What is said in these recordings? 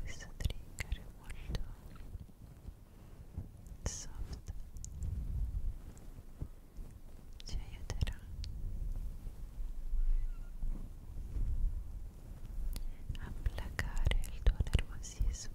questo trigger è molto soft ci aiuterà a placare il tuo nervosismo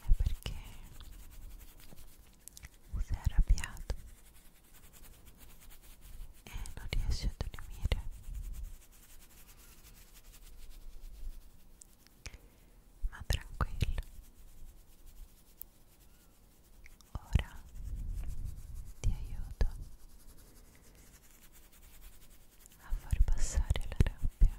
è perché sei arrabbiato e non riesci a dormire ma tranquillo ora ti aiuto a far passare la rabbia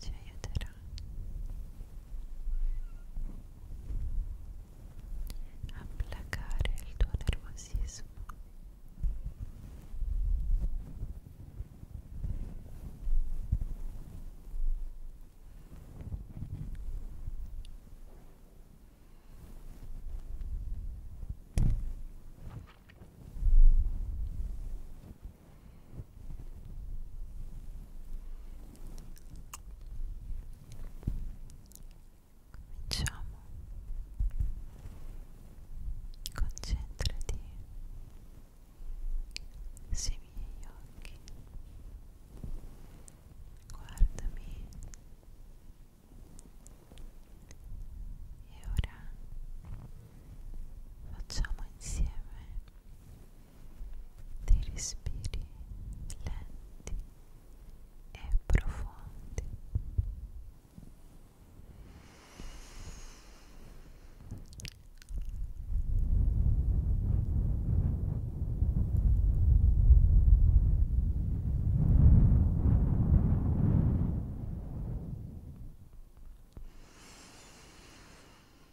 ci aiuterà a placare il tuo nervosismo Ora Cominciamo. Concentrati sui miei occhi. Guardami. E ora facciamo insieme dei respiri lenti e profondi. Ora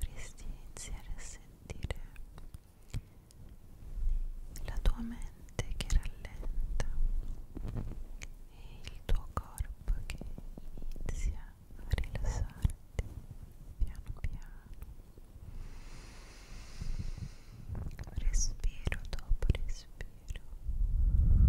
Dovresti iniziare a sentire sentire la tua mente che rallenta e il tuo corpo che inizia a rilassarti piano piano respiro dopo respiro e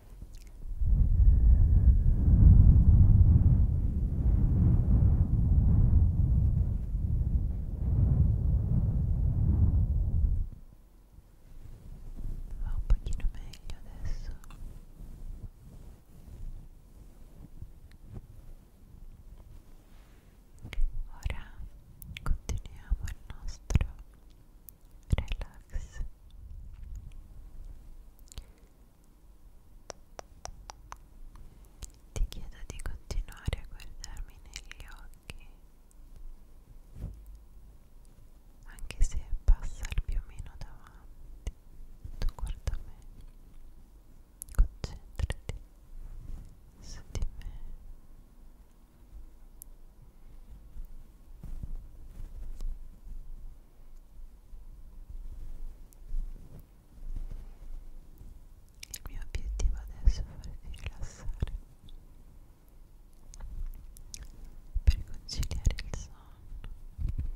Va un pochino meglio adesso. Ora continuiamo il nostro relax. Ti chiedo di continuare a guardarmi negli occhi, anche se passa il piumino davanti, tu guarda me, concentrati su di me. Il mio obiettivo adesso è farti rilassare per conciliare il sonno. Ora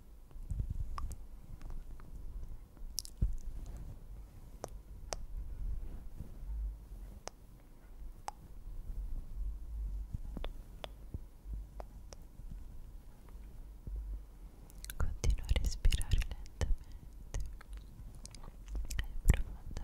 Continua a respirare lentamente e profondamente. Continua, continua.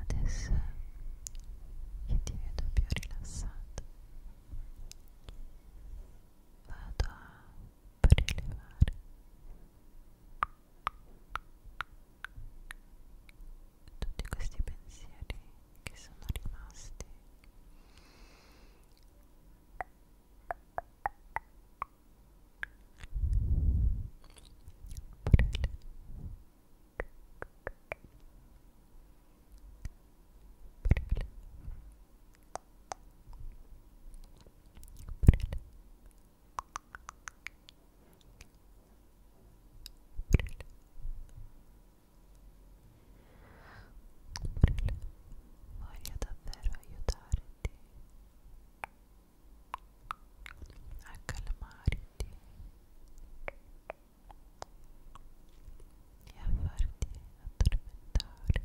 Adesso che ti vedo più rilassato, vado a prelevare tutti questi pensieri che sono rimasti Prele. Prele voglio davvero aiutarti a calmarti e a farti addormentare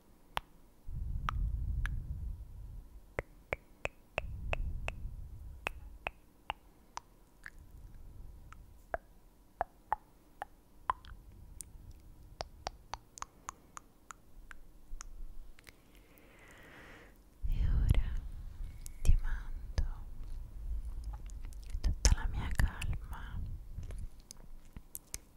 E ora ti mando tutta la mia calma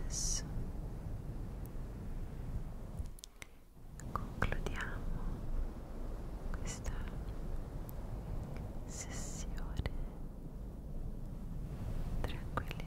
Adesso concludiamo questa sessione tranquillizzante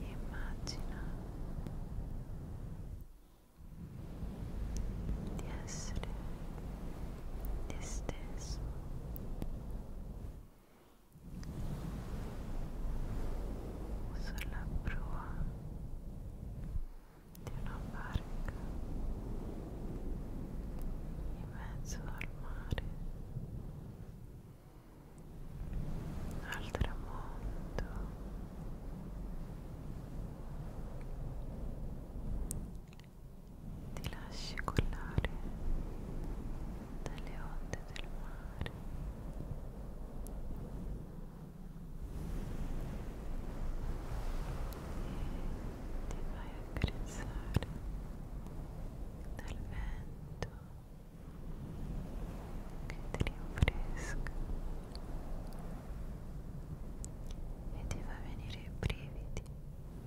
e immagina di essere te stesso sulla prua di una barca in mezzo al mare al tramonto ti lasci collare dalle onde del mare e ti vai a carezzare dal vento che ti rinfresca e ti fa venire i brividi e